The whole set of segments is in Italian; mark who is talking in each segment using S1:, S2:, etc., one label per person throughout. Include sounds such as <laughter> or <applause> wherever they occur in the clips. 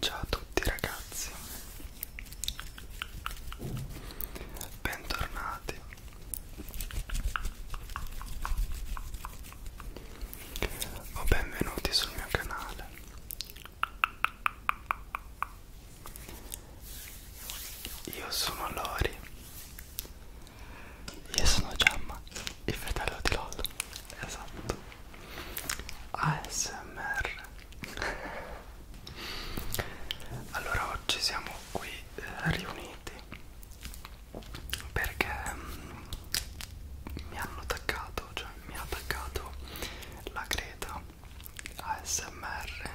S1: Ciao a tutti ragazzi, bentornati o benvenuti sul mio canale. Io sono Lori io sono Gemma, il fratello di LOL. Esatto. ASMR. <laughs> Allora oggi siamo qui eh, riuniti perché mh, mm, mi hanno attaccato, cioè mi ha attaccato la Greta ASMR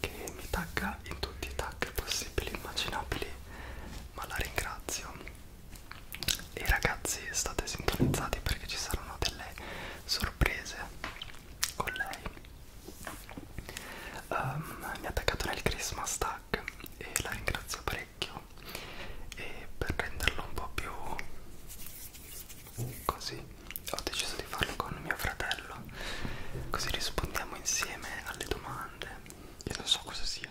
S1: che mi tagga in tutti i tag possibili e immaginabili ma la ringrazio e ragazzi state sintonizzati perché ci saranno delle sorprese con lei um, mi ha attaccato nel Christmas tag e la ringrazio parecchio e per renderlo un po' più così ho deciso di farlo con mio fratello così rispondiamo insieme alle domande io non so cosa sia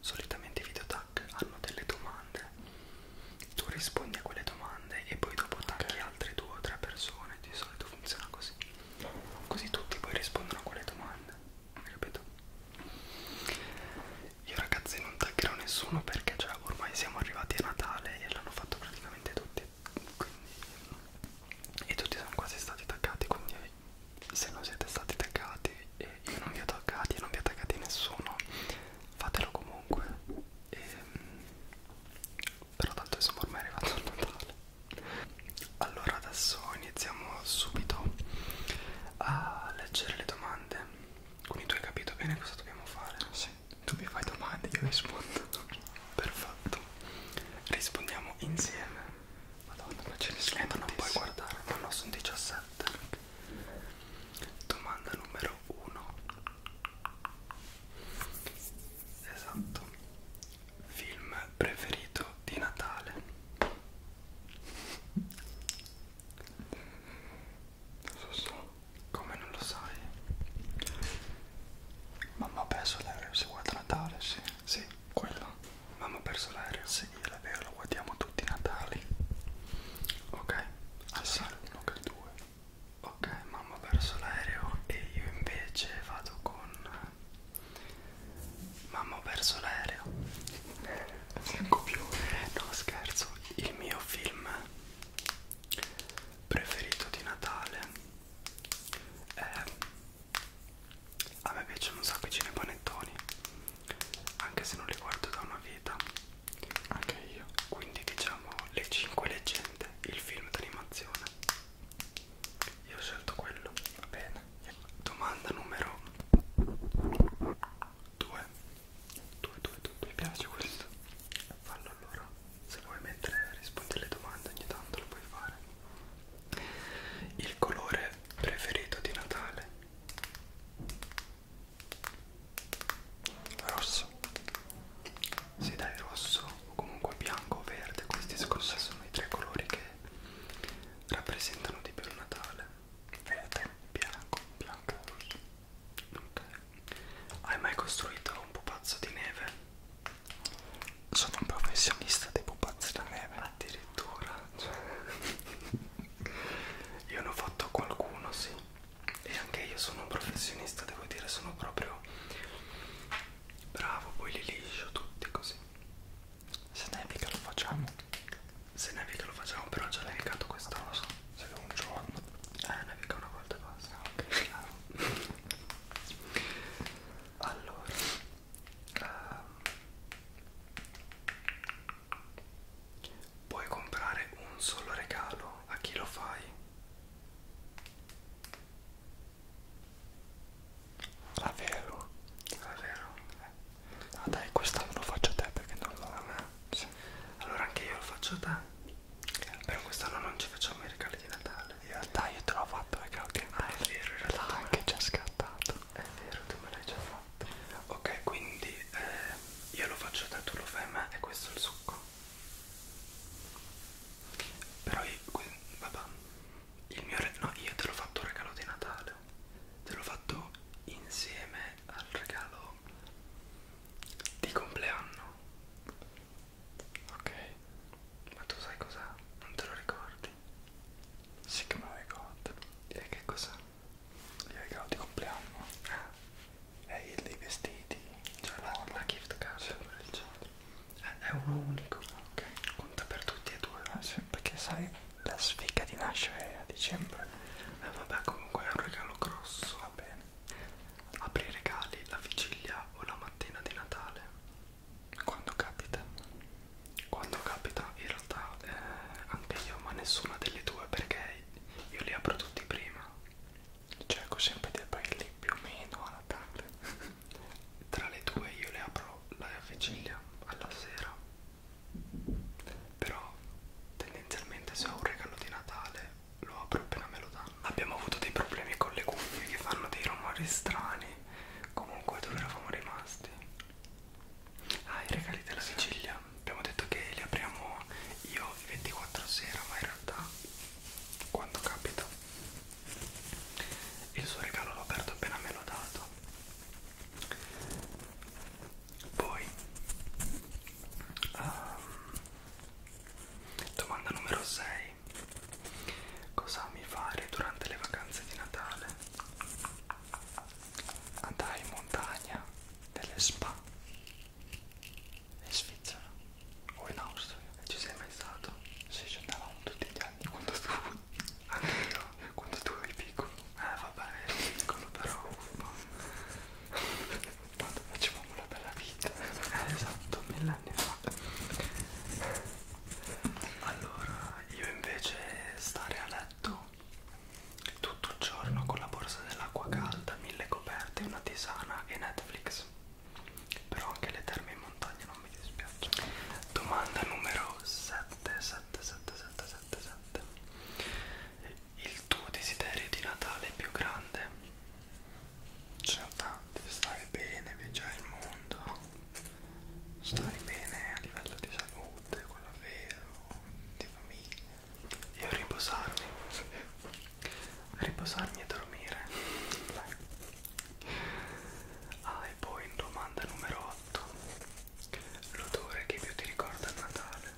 S1: solitamente i video tag hanno delle domande tu rispondi a quelle domande e poi dopo tacchi okay. altre due o tre persone di solito funziona così così tutti poi rispondono a quelle domande capito? io ragazzi non taggerò nessuno perché cioè, ormai siamo arrivati a Natale e l'hanno fatto praticamente tutti quindi e tutti sono quasi stati taggati quindi se non siete stati taggati e io non vi ho taggati e non vi ha taggati nessuno fatelo comunque e, ehm, però tanto insomma ormai è arrivato il Natale allora adesso iniziamo subito a leggere le domande quindi tu hai capito bene cosa dobbiamo fare? Sì, tu mi fai domande io rispondo perfetto rispondiamo insieme Madonna, ma ce ne sono eh, ma non puoi guardare, no, no, sono 17 Domanda numero 1 Esatto Film preferito di Natale Lo so, so, come non lo sai? Mamma penso lei se guarda Natale, sì sì, quella. Mamma ha perso l'aereo? Sì, è vero, lo guardiamo tutti i Natali. Ok, allora 1 che 2. Ok, mamma ha perso l'aereo e io invece vado con... Mamma ho perso l'aereo. Manco più. No, scherzo. Il mio film preferito di Natale è a me piacciono un sacco i cinepanettoni anche se non li guardo da una vita anche io quindi diciamo le 5 leggende il film d'animazione io ho scelto quello va bene domanda numero 2 2 2 2 mi piace questo fallo allora se vuoi mentre rispondi alle domande ogni tanto lo puoi fare il colore preferito di Natale rosso si dai rosso o comunque bianco o verde questi secondo me sono i tre colori che rappresentano di più il Natale verde bianco bianco e rosso okay. hai mai costruito un pupazzo di neve sono un professionista dei pupazzi da neve addirittura faccia <laughs> io ne ho fatto qualcuno sì e anche io sono un professionista devo dire sono proprio bravo poi li liscio tutti così se nevica lo facciamo se nevica lo facciamo però ho già nevicato questa cosa se un giorno eh nevica una volta e basta ah, ok <laughs> allora uh, puoi comprare un solo regalo a chi lo fai la vero la vero eh. ah dai quest'anno lo faccio a te perché non lo a me sì. allora anche io lo faccio a te però quest'anno non ci facciamo i regali di Natale. In realtà io te l'ho fatto perché ho detto. Ah, è vero, in realtà. L'ha anche già scattato. È vero, tu me l'hai già fatto. Ok, quindi eh, io lo faccio da tu lo fai a me e questo è il succo. Però io, vabbè, il mio regalo, no, io te l'ho fatto un regalo di Natale. Te l'ho fatto insieme al regalo di compleanno. Ok, ma tu sai cos'è? Non te lo ricordi? avanti si chiamava God e che cos'è? gli regalo di compleanno ah. e dei vestiti cioè la, la gift card sì. Eh, è uno unico okay. conta per tutti e due eh, sì. perché sai la sfiga di nascere a dicembre eh, vabbè comunque è un regalo grosso va bene apri i regali la vigilia o la mattina di Natale quando capita quando capita in realtà eh, anche io ma nessuna delle due perché io li apro tutti prima cerco sempre di aprirli più o meno alla tarde <laughs> tra le due io le apro la vigilia alla sera però tendenzialmente se ho un regalo di Natale lo apro appena me lo danno abbiamo avuto dei problemi con le cuffie che fanno dei rumori strani comunque dove eravamo rimasti Ah, i regali della vigilia. Abbiamo detto che li apriamo io il 24 sera, ma in realtà quando capita. Il suo regalo l'ho aperto appena me l'ho dato. Poi, um, domanda numero 6. Cosa mi fare durante le vacanze di Natale? andai in montagna delle spa in Svizzera o in Austria ci sei mai stato? Sì, ci andavamo tutti gli anni quando tu anche io quando tu eri piccolo eh vabbè ero piccolo però quando facevamo la bella vita eh, esatto mille fa allora io invece stare a letto tutto il giorno con la borsa dell'acqua calda, mille coperte, una tisana e Netflix. Però anche le terme in montagna non mi dispiacciono. Domanda numero 777777. Il tuo desiderio di Natale più grande? Ce n'è tanti, stare bene, viaggiare il mondo stai bene a livello di salute, quello vero, di famiglia Io riposarmi, riposarmi e dormire Dai. Ah e poi domanda numero 8 L'odore che più ti ricorda il Natale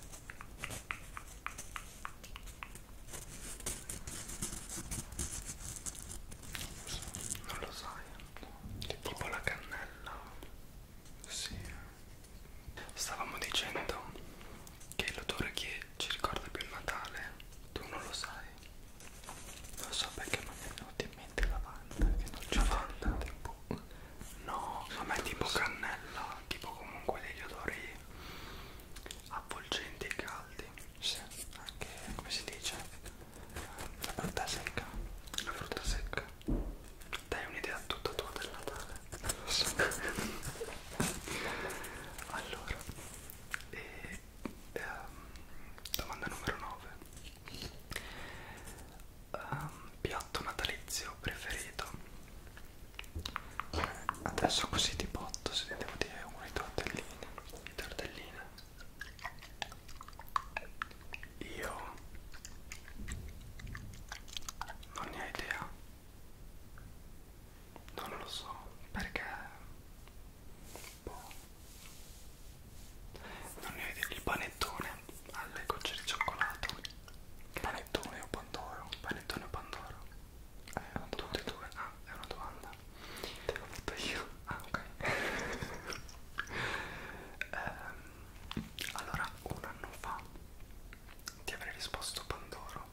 S1: non lo sai, tipo la cannella sì. Stavamo dicendo che l'odore che ci ricorda più il Natale, tu non lo sai. Non so perché mi è venuta in mente lavanda, che non c'è lavanda. Tipo... No, ma è tipo so. cannella, tipo comunque degli odori avvolgenti e caldi. Sì, anche come si dice? la frutta secca la frutta secca dai un'idea tutta tua del Natale non lo so allora e, e, um, domanda numero 9 um, ehm, piatto natalizio preferito adesso così di botto se ne devo dire uno i tortellini i tortellini io non ne ho idea. Non lo so perché boh. non ne ho idea. Il panettone alle gocce di cioccolato. Panettone o pandoro? Panettone o pandoro? Eh, tutte e due. Ah, è una domanda. Te l'ho fatto io. Ah, ok. um, <laughs> allora un anno fa ti avrei risposto Pandoro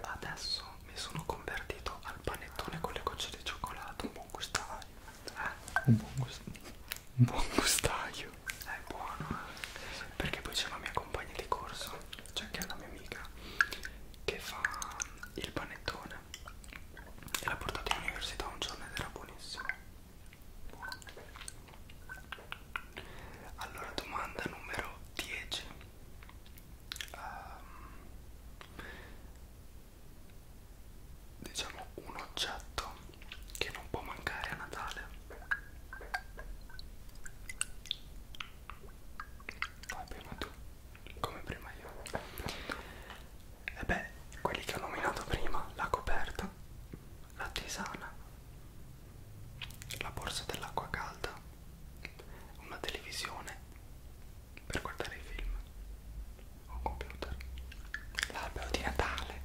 S1: adesso mi sono convertito al panettone con le gocce di cioccolato un buon gustaio eh? un buon gustaio un buon gustaio è buono eh? perché poi c'è la mia compagna di corso cioè che è la mia amica che fa il panettone e l'ha portato all'università un giorno ed era buonissimo allora, domanda numero 10. Um, ehm, diciamo un oggetto che non può mancare a Natale. Vai prima tu, come prima io e eh beh, quelli che ho nominato prima, la coperta, la tisana, la borsa dell'acqua calda, una televisione per guardare i film, un computer, l'albero di Natale,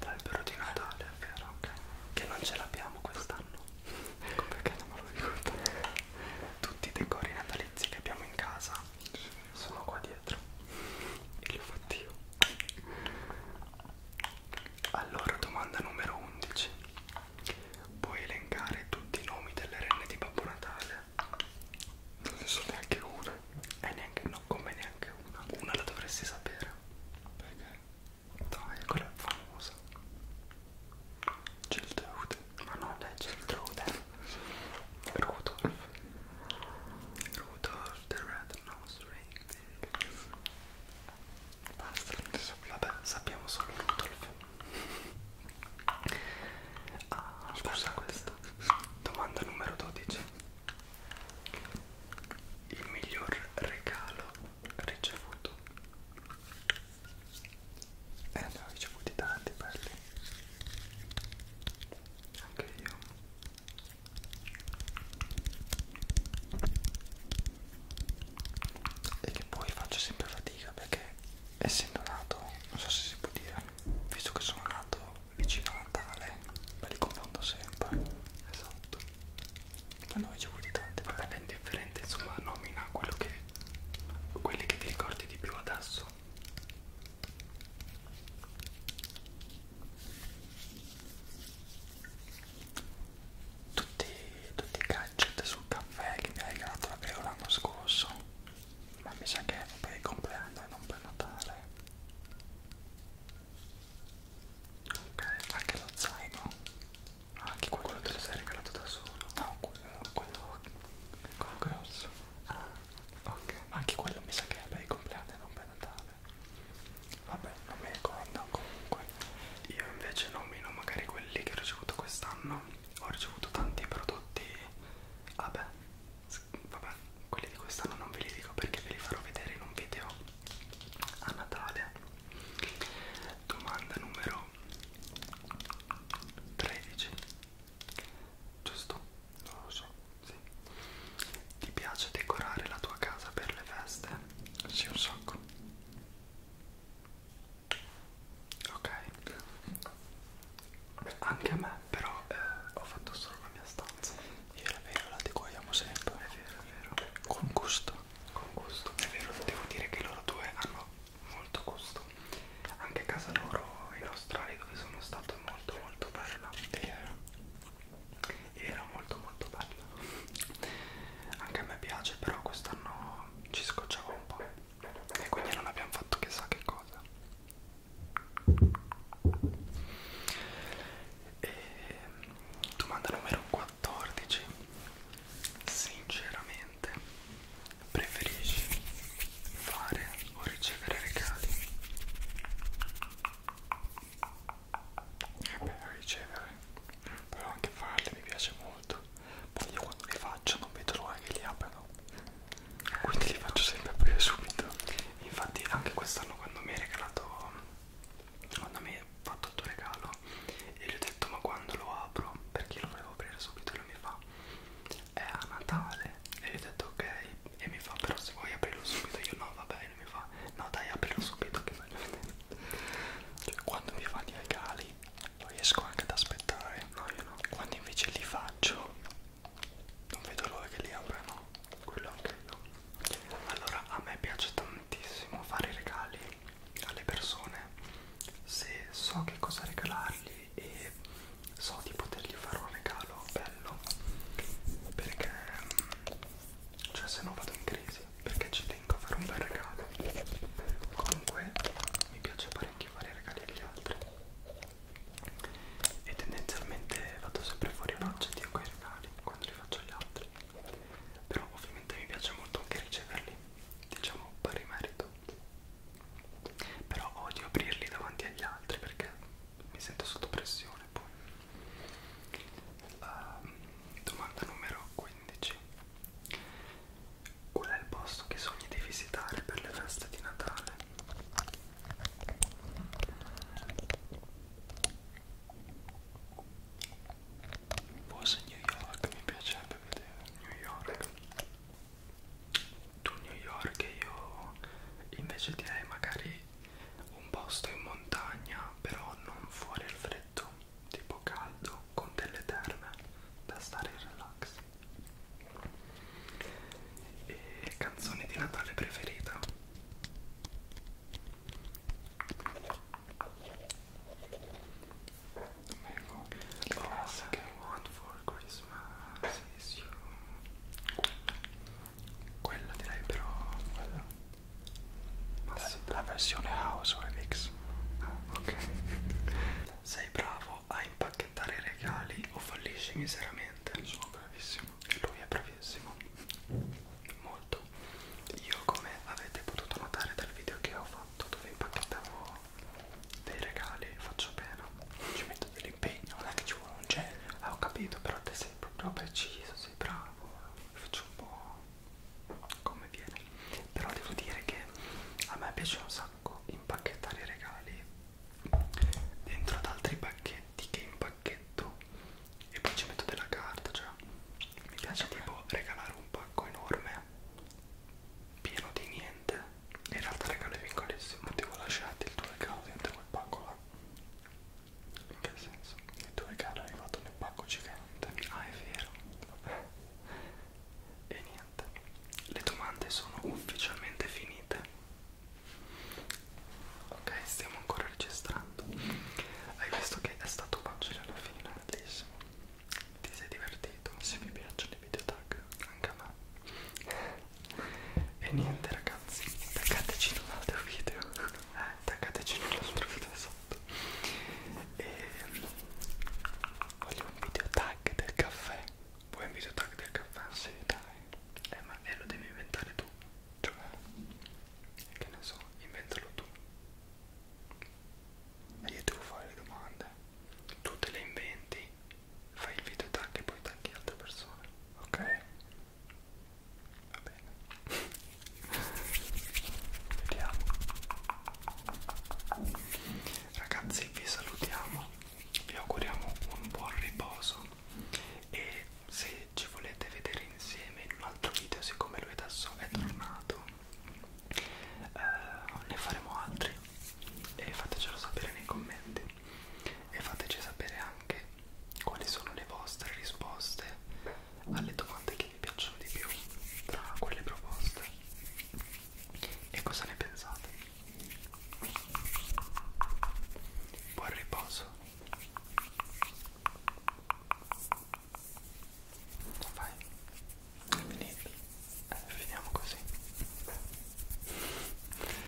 S1: l'albero di Natale, è vero, okay. che non ce l'abbiamo quest'anno, ecco perché non me lo ricordo, tutti i decori natalizi che abbiamo in casa sono qua dietro e li ho fatti io allora domanda numero 11 puoi elencare tutti i nomi delle renne di Babbo Natale non ne so neanche una e neanche no come neanche una una la dovresti sapere perché dai quella è famosa Geltrude ma non è Geltrude Rudolph Rudolph the Red Nose Ring Basta, vabbè, sappiamo solo Rudolph Ah, scusa questo Domanda numero 12 Il miglior regalo ricevuto eh ne ho ricevuti tanti belli anche io e che poi faccio sempre fatica perché essendo nato non so se si può dire visto che sono nato vicino a Natale me li confondo sempre esatto ma noi ci vuole tanto vabbè è indifferente insomma nomina quello che quelli che ti ricordi di più adesso tutti, tutti i gadget sul caffè che mi ha regalato la Vero l'anno scorso ma mi sa che è per il compleanno e non per Natale ok anche lo zaino ah, anche quello, quello te lo sei regalato da solo no quello quello quello grosso ah ok ma anche quello mi sa che è per il compleanno e non per Natale vabbè non mi ricordo comunque io invece nomino magari quelli che ho ricevuto quest'anno ho ricevuto tanti prodotti vabbè vabbè quelli di quest'anno non ve li dico perché ve li farò vedere in un video a Natale domanda numero 13 giusto? Non lo so, sì. Ti piace decorare la tua casa per le feste? Sì, un sacco. Ok. Anche a me, però eh, ho fatto solo la mia stanza. Io la vero, la decoiamo sempre. È vero, è vero. Con gusto. Con gusto. È vero, devo dire che loro due hanno molto gusto. Anche a casa loro in Australia dove sono stato molto molto molto bella e eh, era molto molto bella anche a me piace però quest'anno ci scocciavo un po' e quindi non abbiamo fatto chissà che cosa e ehm, domanda numero 14 sinceramente preferisci fare o ricevere regali è eh bello ricevere però anche farli mi piace molto poi io quando li faccio non vedo l'ora che li aprono quindi li faccio sempre aprire subito infatti anche quest'anno quando mi hai regalato quando mi hai fatto il tuo regalo e gli ho detto ma quando lo apro perché lo volevo aprire subito e lui mi fa è a Natale e gli ho detto ok e mi fa però se vuoi aprirlo subito io no va bene mi fa no dai aprilo subito che voglio vedere cioè quando mi fa i regali riesco anche ad aspettare no io no quando invece li faccio non vedo l'ora che li aprano quello anche io allora a me piace tantissimo fare i regali alle persone se so che cosa regalargli e so di potergli fare un regalo bello perché mm, cioè se no vado in crisi perché ci tengo a fare un bel regalo comunque mi piace parecchio fare regali agli altri e tendenzialmente vado sempre fuori budget io quei regali quando li faccio agli altri però ovviamente mi piace molto anche riceverli diciamo pari merito però odio aprirli davanti agli altri perché mi sento sotto pressione poi uh, domanda numero 15 qual è il posto che sogni di visitare per le feste di Natale? forse New York mi piacerebbe vedere New York tu New York e io invece direi magari un posto in montagna però non fuori al freddo tipo caldo con delle terme da stare in relax e canzone di Natale preferita Ecco, classica One for Christmas is you quella direi però quella. Ma la, sì. la versione house o MX. Ah, ok. <laughs> Sei bravo a impacchettare i regali o fallisci miseramente? Sono bravissimo. Lui è bravissimo. Molto. Io come avete potuto notare dal video che ho fatto dove impacchettavo dei regali faccio pena. Ci metto metto dell'impegno, non è che ci vuole un genio. Eh, ho capito, però te sei proprio preciso, sei bravo. Faccio un po' come viene. Però devo dire che a me piace un sacco impacchettare i regali dentro ad altri pacchetti che impacchetto e poi ci metto della carta, cioè mi piace sì, tipo eh. regalare un pacco enorme pieno di niente in realtà regalo piccolissimo, ti ho lasciato il tuo regalo dentro quel pacco là in che senso? E dove caro è arrivato nel pacco gigante? Ah, è vero. Vabbè. E niente, le domande sono ufficialmente finite. Ok, stiamo ancora registrando. Hai visto che è stato facile alla fine, bellissimo. Ti sei divertito? Se vi piacciono i video tag, anche a me e niente ragazzi attaccateci nell'altro video attaccateci eh, nell'altro video sotto e voglio un video tag del caffè vuoi un video tag del caffè? Sì, dai eh ma eh, lo devi inventare tu cioè che ne so inventalo tu e io devo fare le domande tu te le inventi fai il video e tagli e poi tagli altre persone ok va bene <laughs> vediamo ragazzi vi salutiamo vi auguriamo un buon riposo e se ci volete vedere insieme in un altro video siccome lui adesso è tornato eh, ne faremo altri e fatecelo sapere nei commenti e fateci sapere anche quali sono le vostre risposte alle domande che vi piacciono di più tra quelle proposte e cosa ne pensate buon riposo vai Venite. Eh, finiamo così